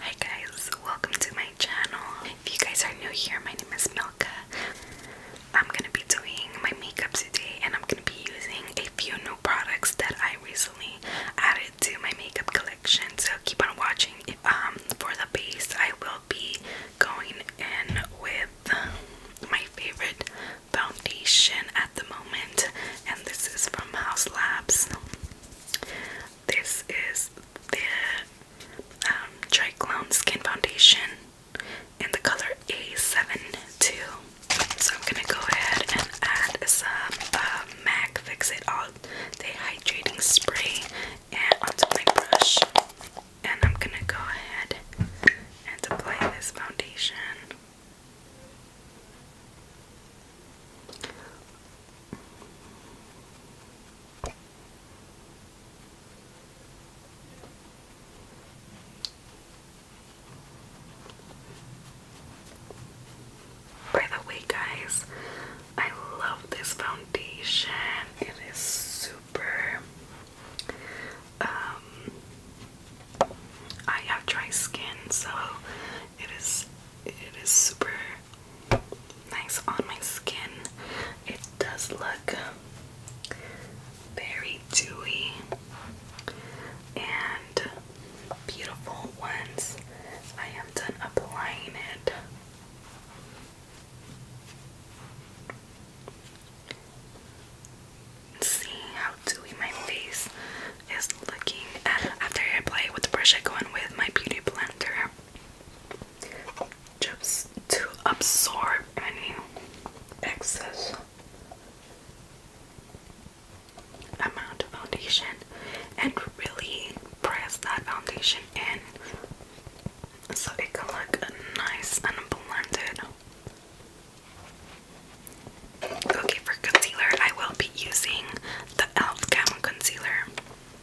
Hi guys, welcome to my channel. If you guys are new here, my name is Milka. I'm gonna be doing my makeup today and I'm gonna be using a few new products that I recently added to my makeup collection. So keep on watching. Um, for the base, I will be going in with my favorite foundation at the moment and this is from House Labs this is the um, Dry Clown Skin Foundation in the color A72. So I'm gonna go ahead and add some uh, MAC Fix It All Day Hydrating Spray and onto my brush. And I'm gonna go ahead and apply this foundation by the way, guys, I love this foundation. It is super. Um, I have dry skin, so it is it is super nice on my skin. It does look very dewy and beautiful once I am done applying it. See how dewy my face is looking after I apply it with the brush I go in with my beauty blender just to absorb any excess amount of foundation and really press that foundation in so it can look nice and blended. Okay, for concealer, I will be using the e.l.f. Gamma Concealer.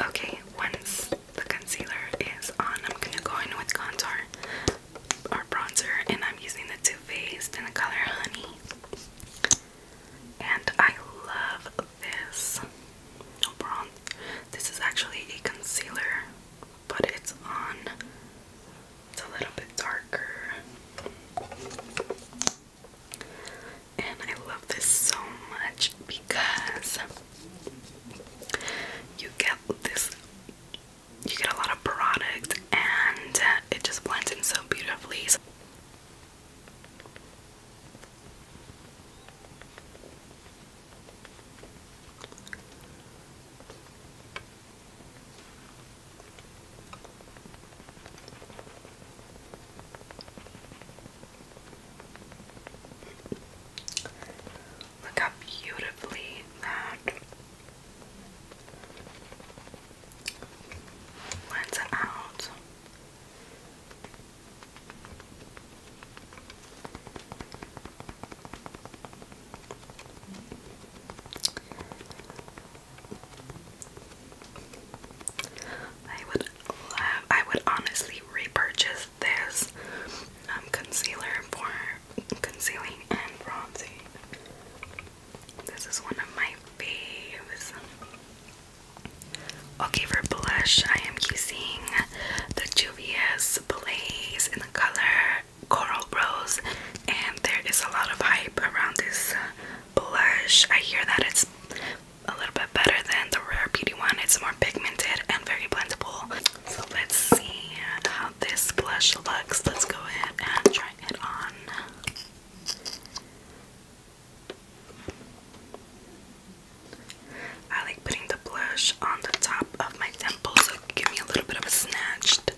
Okay, once the concealer is on, I'm gonna go in with contour or bronzer, and I'm using the Too Faced in the color Honey. And I love this bronze. This is actually a concealer, but it's on it's a little bit darker. And I love this so much because you get this you get a lot of product and uh, it just blends in so beautifully. Look how beautifully that lines out. I would I would honestly repurchase this um, concealer for concealing and bronzing. This is one of my faves. Okay, for blush, I am using the Juvia's Blaze in the color Coral Rose, and there is a lot of hype around this uh, blush. I hear that it's a little bit better than the Rare Beauty one, it's more pigmented and very blendable. So, let's see how this blush looks. Let's go ahead and try it on. I like putting the blush on the top of my temple, so give me a little bit of a snatched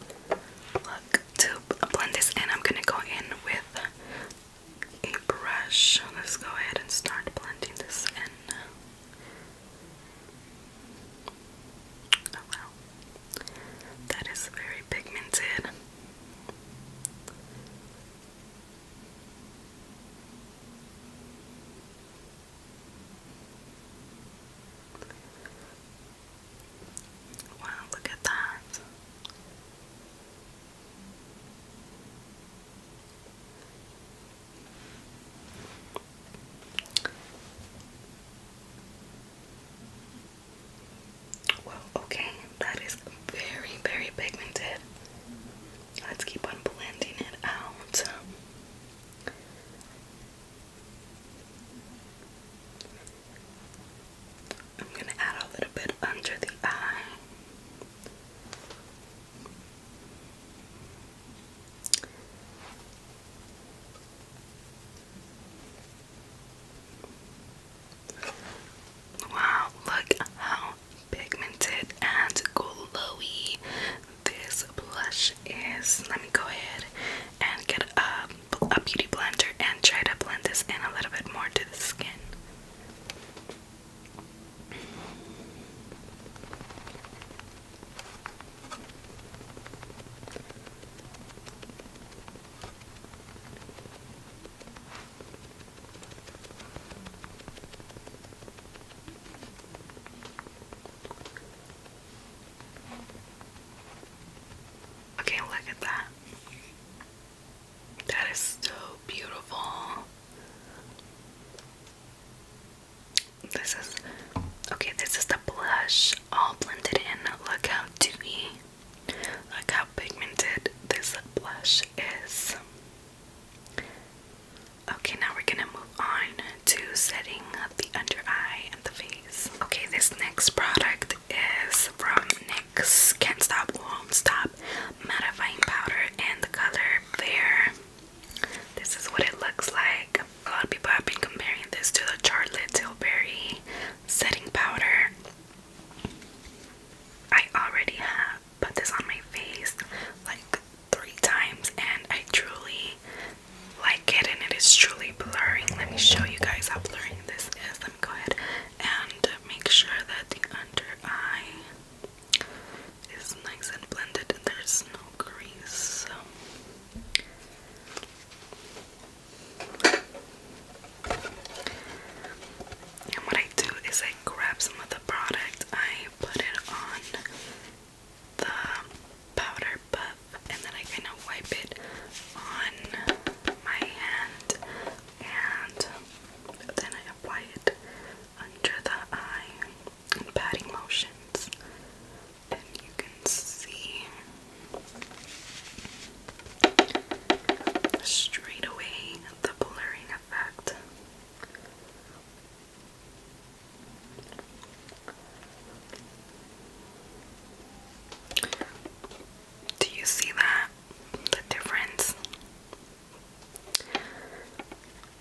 look to blend this in, I'm gonna go in with a brush. Let's go ahead and start blending this in. Oh wow, that is very pigmented. Wow, look at that. Well, okay, that is very, very pigmented. Let's keep on blending it out. I'm going to add a little bit under the eye. Wow, look how pigmented and glowy this blush is. Let me go ahead and get a a beauty blender and try to blend this in a little bit more to the skin. Okay, look at that. That is so beautiful. This is okay, this is the blush all blended in. Look how dewy, look how pigmented this blush is. Okay, now we're gonna move on to setting up the under eye. Okay, this next product is from NYX Can't Stop Won't Stop Mattifying Powder and the color Fair. This is what it looks like. A lot of people have been comparing this to the Charlotte Tilbury setting powder. I already have put this on my face like three times and I truly like it and it is truly blurring. Let me show you guys how blurring this is. Let me go ahead and make sure that the under eye is nice and blended and there's no grease. And what I do is I grab some of the product, I put it on the powder powder and then I kind of wipe it on my hand and then I apply it under the eye in patting motions and you can see straight away the blurring effect do you see that? The difference?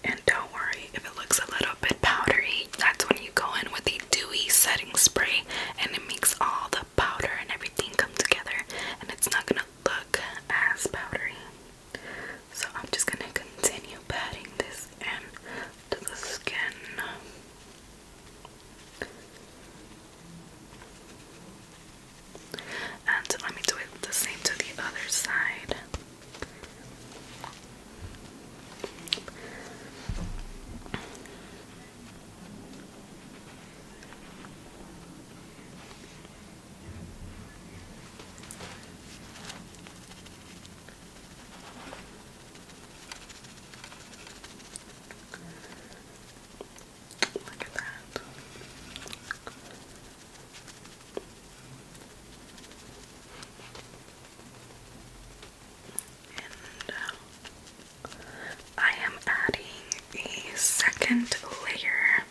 And don't worry if it looks a little bit powdery, that's when you go in with a dewy setting spray and it makes all the powder and everything come together and it's not gonna look as powdery. So I'm just gonna continue patting this in the skin. And let me do it the same to the other side. Look at that. And uh, I am adding a second layer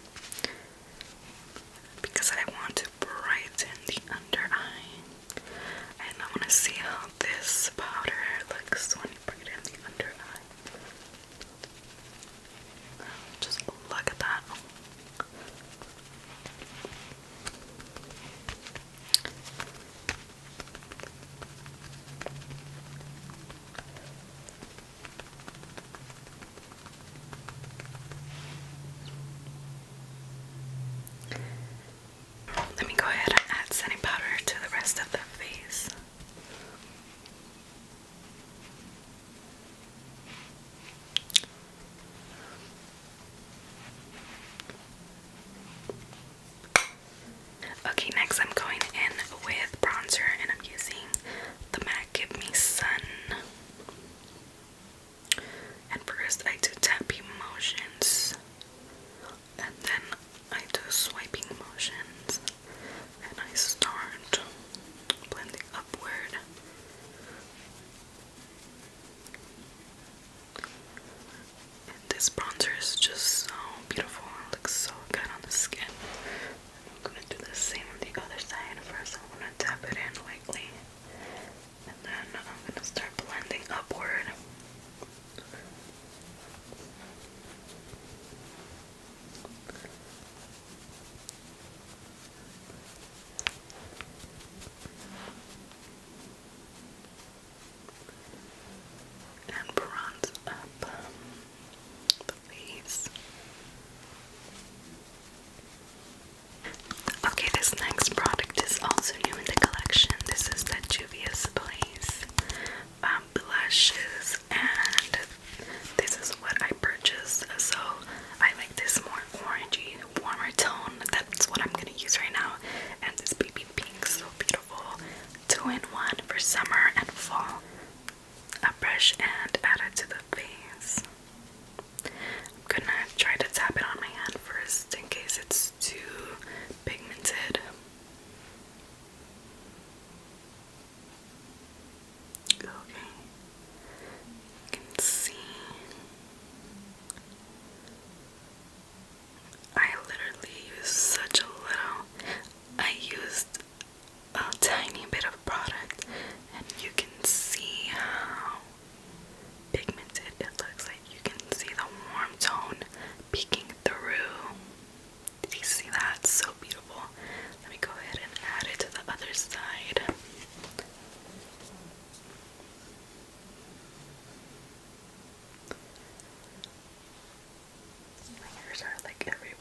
because I want to brighten the under eye. And I want to see how this powder looks when you bring it in the under eye. Um, just look at that. Let me go ahead and add setting powder to the rest of the face. Okay, next I'm going in with bronzer and I'm using the MAC Give Me Sun. And first I do tap emotions and then I do swiping motions and I start blending upward. And this bronzer is just so beautiful and looks so good on the skin. I'm gonna do the same on the other side first. am gonna tap it in lightly and then I'm going to start blending upward. And bronze up um, the face. Okay, this next product is also new in the collection. This is the Place um, blushes, and this is what I purchased. So I like this more orangey, warmer tone. That's what I'm gonna use right now. And this baby pink, so beautiful. Two in one for summer and fall. A brush and add it to the face. I'm gonna try to tap it on my hand first in case it's too pigmented. Okay, can see. I literally used such a little. I used a tiny bit of product, and you can see how pigmented. It looks like you can see the warm tone peeking through. Did you see that? so beautiful. Let me go ahead and add it to the other side. My hairs are like everywhere.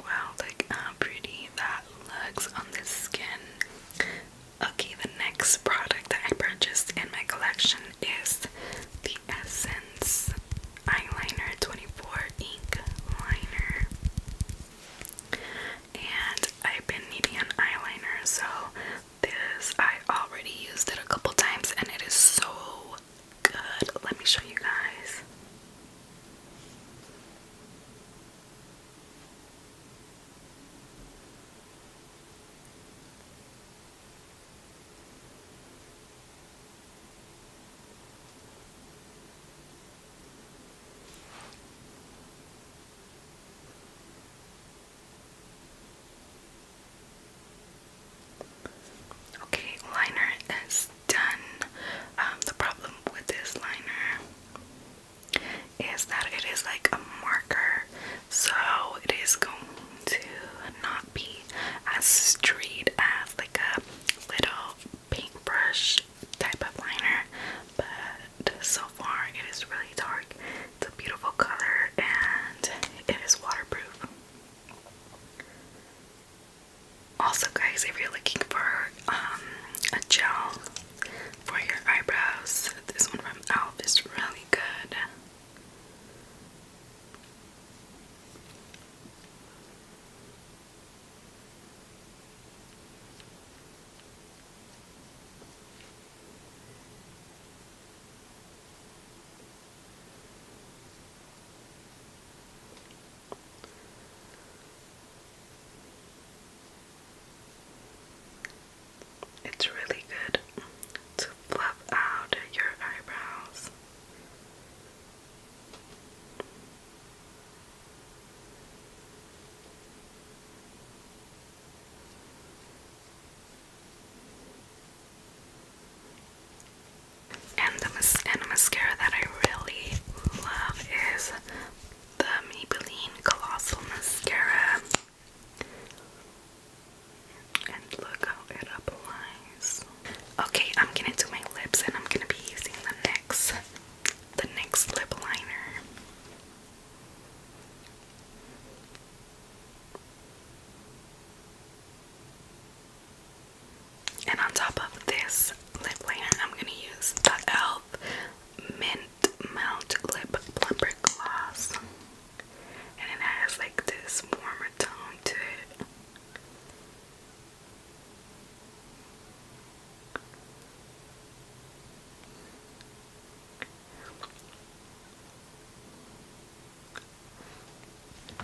Wow, look how uh, pretty that looks on this skin. Okay, the next product that I purchased in my collection is the Essence Eyeliner 24 Ink Liner. And I've been needing an eyeliner, so this I already used it a couple times and it is so good. Let me show you guys. Okay, liner is done. Um, the problem with this liner is that it is like a marker, so it is going to not be as straight as like a little paintbrush type of liner. But so far, it is really dark. It's a beautiful color and it is waterproof. Also, guys, if you're looking for um, a gel for your eyebrows, this one from Elf is really good. It's really good to fluff out your eyebrows. And the, and the mascara that I really love is the Maybelline Colossal Mascara. And look how it applies. Okay, I'm gonna do my lips and I'm gonna be using the next, the NYX lip liner. And on top of this lip liner, I'm gonna use the Mint Melt Lip Plumper Gloss. And it has like this warmer tone to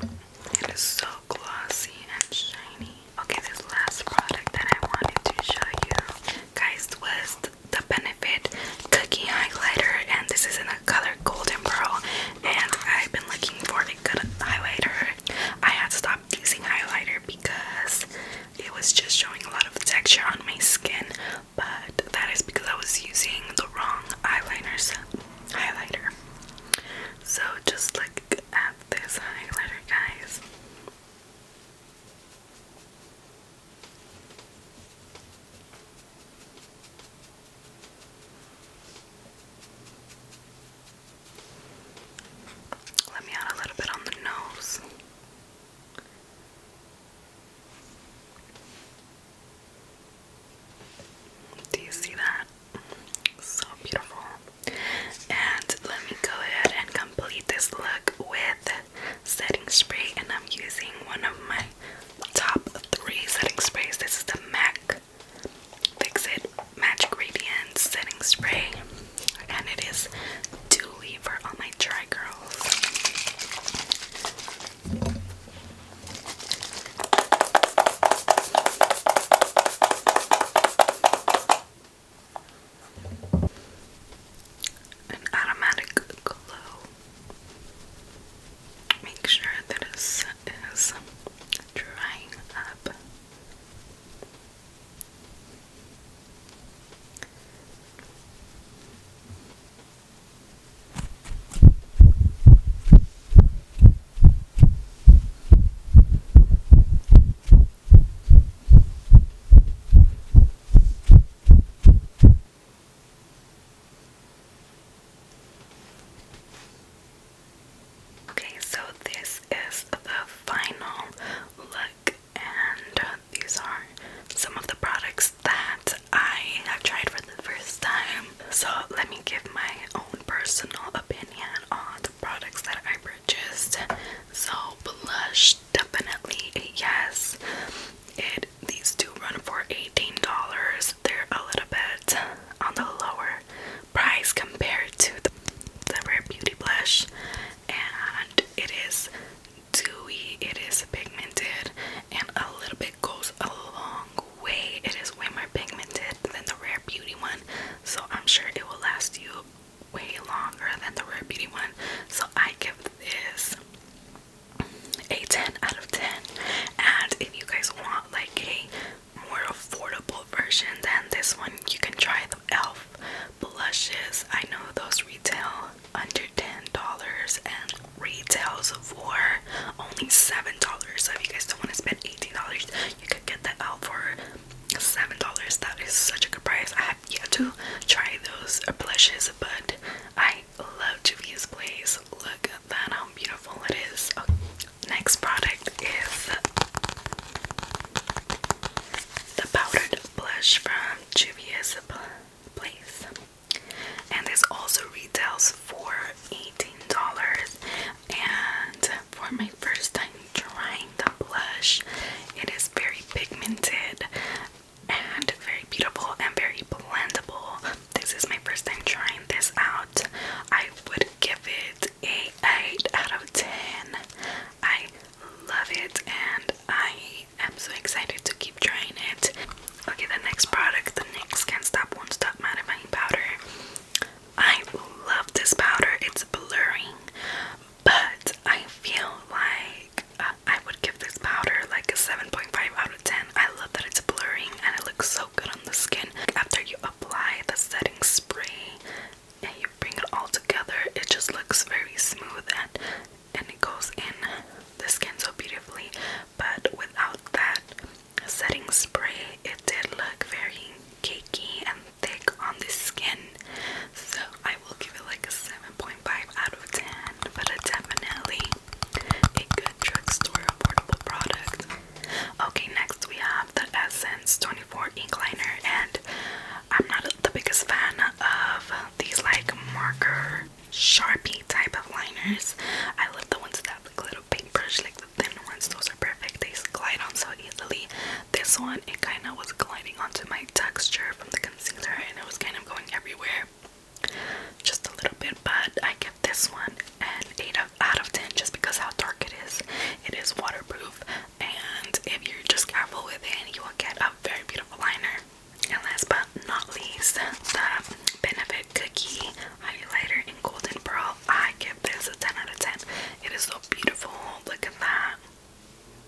it. It is so glossy and shiny. Okay, this last product that I wanted to show you guys was the Benefit Cookie Highlighter, and this is in the color Golden Pearl. And I've been looking for a good highlighter. I had stopped using highlighter because it was just showing a lot of texture on my skin, but that is because I was using the wrong eyeliners highlighter. So just look at this highlighter, guys. Let me add a little bit on the nose. Do you see that? So beautiful. And let me go ahead and complete this look with setting spray. And I'm using one of my top three setting sprays. This is the MAC Fix It Magic Radiant Setting Spray. And it dewy for all my dry girls an automatic glow. Make sure that it is drying up. Okay, so this is the final look, and these are some of the products that I have tried for the first time. So, let me give my own personal opinion on the products that I purchased. So blush, definitely a yes. It these two run for $18. They're a little bit on the lower price compared to the, the Rare Beauty blush, and it is dewy, it is pigmented, and a little bit goes a long way. It is way more pigmented than the Rare Beauty one, so I'm sure it will last you way longer than the Rare Beauty one. So I give this a 10 out of 10. And if you guys want like a more affordable version than this one, you can try the e.l.f. blushes. I know those retail under $10 and retails for only $7. So if you guys don't want to spend $18, you could get the e.l.f. for seven dollars that is such a good price i have yet to try those blushes but i love Juvia's place look at that how beautiful it is oh, next product is the powdered blush from Juvia's place and this also retails for $18 and for my first time trying the blush. It is very pigmented and very beautiful and very blendable. This is my first time trying this out. I would give it a 8 out of 10. I love it and I am so excited to keep trying it. Okay, the next product, the next Can't Stop One Stop Mattifying Powder. I love this powder. It's blurring, but I feel like uh, I would give this powder like a 7.5 out of 10. I love that it's blurring and it looks so good on the skin. After you apply the setting spray and you bring it all together, it just looks very smooth and and it goes in the skin so beautifully. But without that setting spray, it did look very cakey and thick on the skin. So I will give it like a 7.5 out of 10, but definitely a good drugstore affordable product. Okay, next we have the Essence 24 Ink Liner, and I'm not the biggest fan of these like marker sharpie type of liners. I love the ones that have like little paintbrush, like the thin ones. Those are perfect. They glide on so easily. This one, it kind of was gliding onto my texture from the concealer and it was kind of going everywhere. Just a little bit, but I give this one an 8 out of 10 just because how dark it is. It is waterproof, and if you're just careful with it, you will get a very beautiful liner. And last but not least, the Benefit Cookie Highlighter in Golden Pearl. I give this a 10 out of 10. It is so beautiful. Look at that.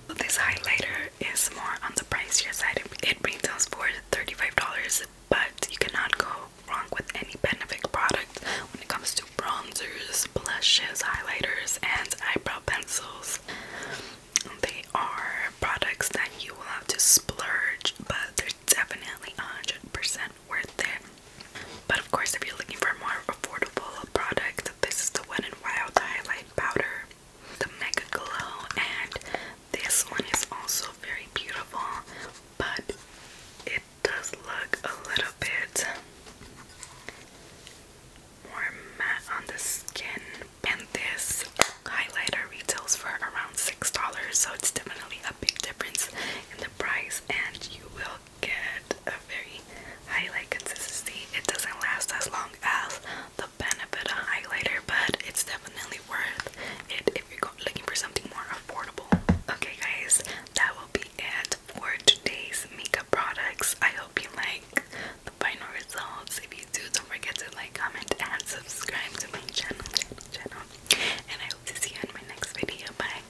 This highlighter is more on the pricier side. It retails for $35, but you cannot go wrong with any Benefit product when it comes to bronzers, blushes, highlighters, and eyebrow pencils. They are products that you will have to splurge, but they're definitely 100% worth it. But of course, if you're looking for a more affordable product, this is the Wet n Wild Highlight Powder, the Mega Glow, and this one is also very beautiful, but it does look a little bit more matte on the skin. And this highlighter retails for around $6, so it's definitely a big difference in the price, and you will get a very highlight consistency. It doesn't last as long as the benefit of highlighter, but it's definitely worth it if you're looking for something more affordable. Okay, guys, that will be it for today's makeup products. I hope you like the final results. If you do, don't forget to like, comment, and subscribe to my channel, channel. And I hope to see you in my next video. Bye.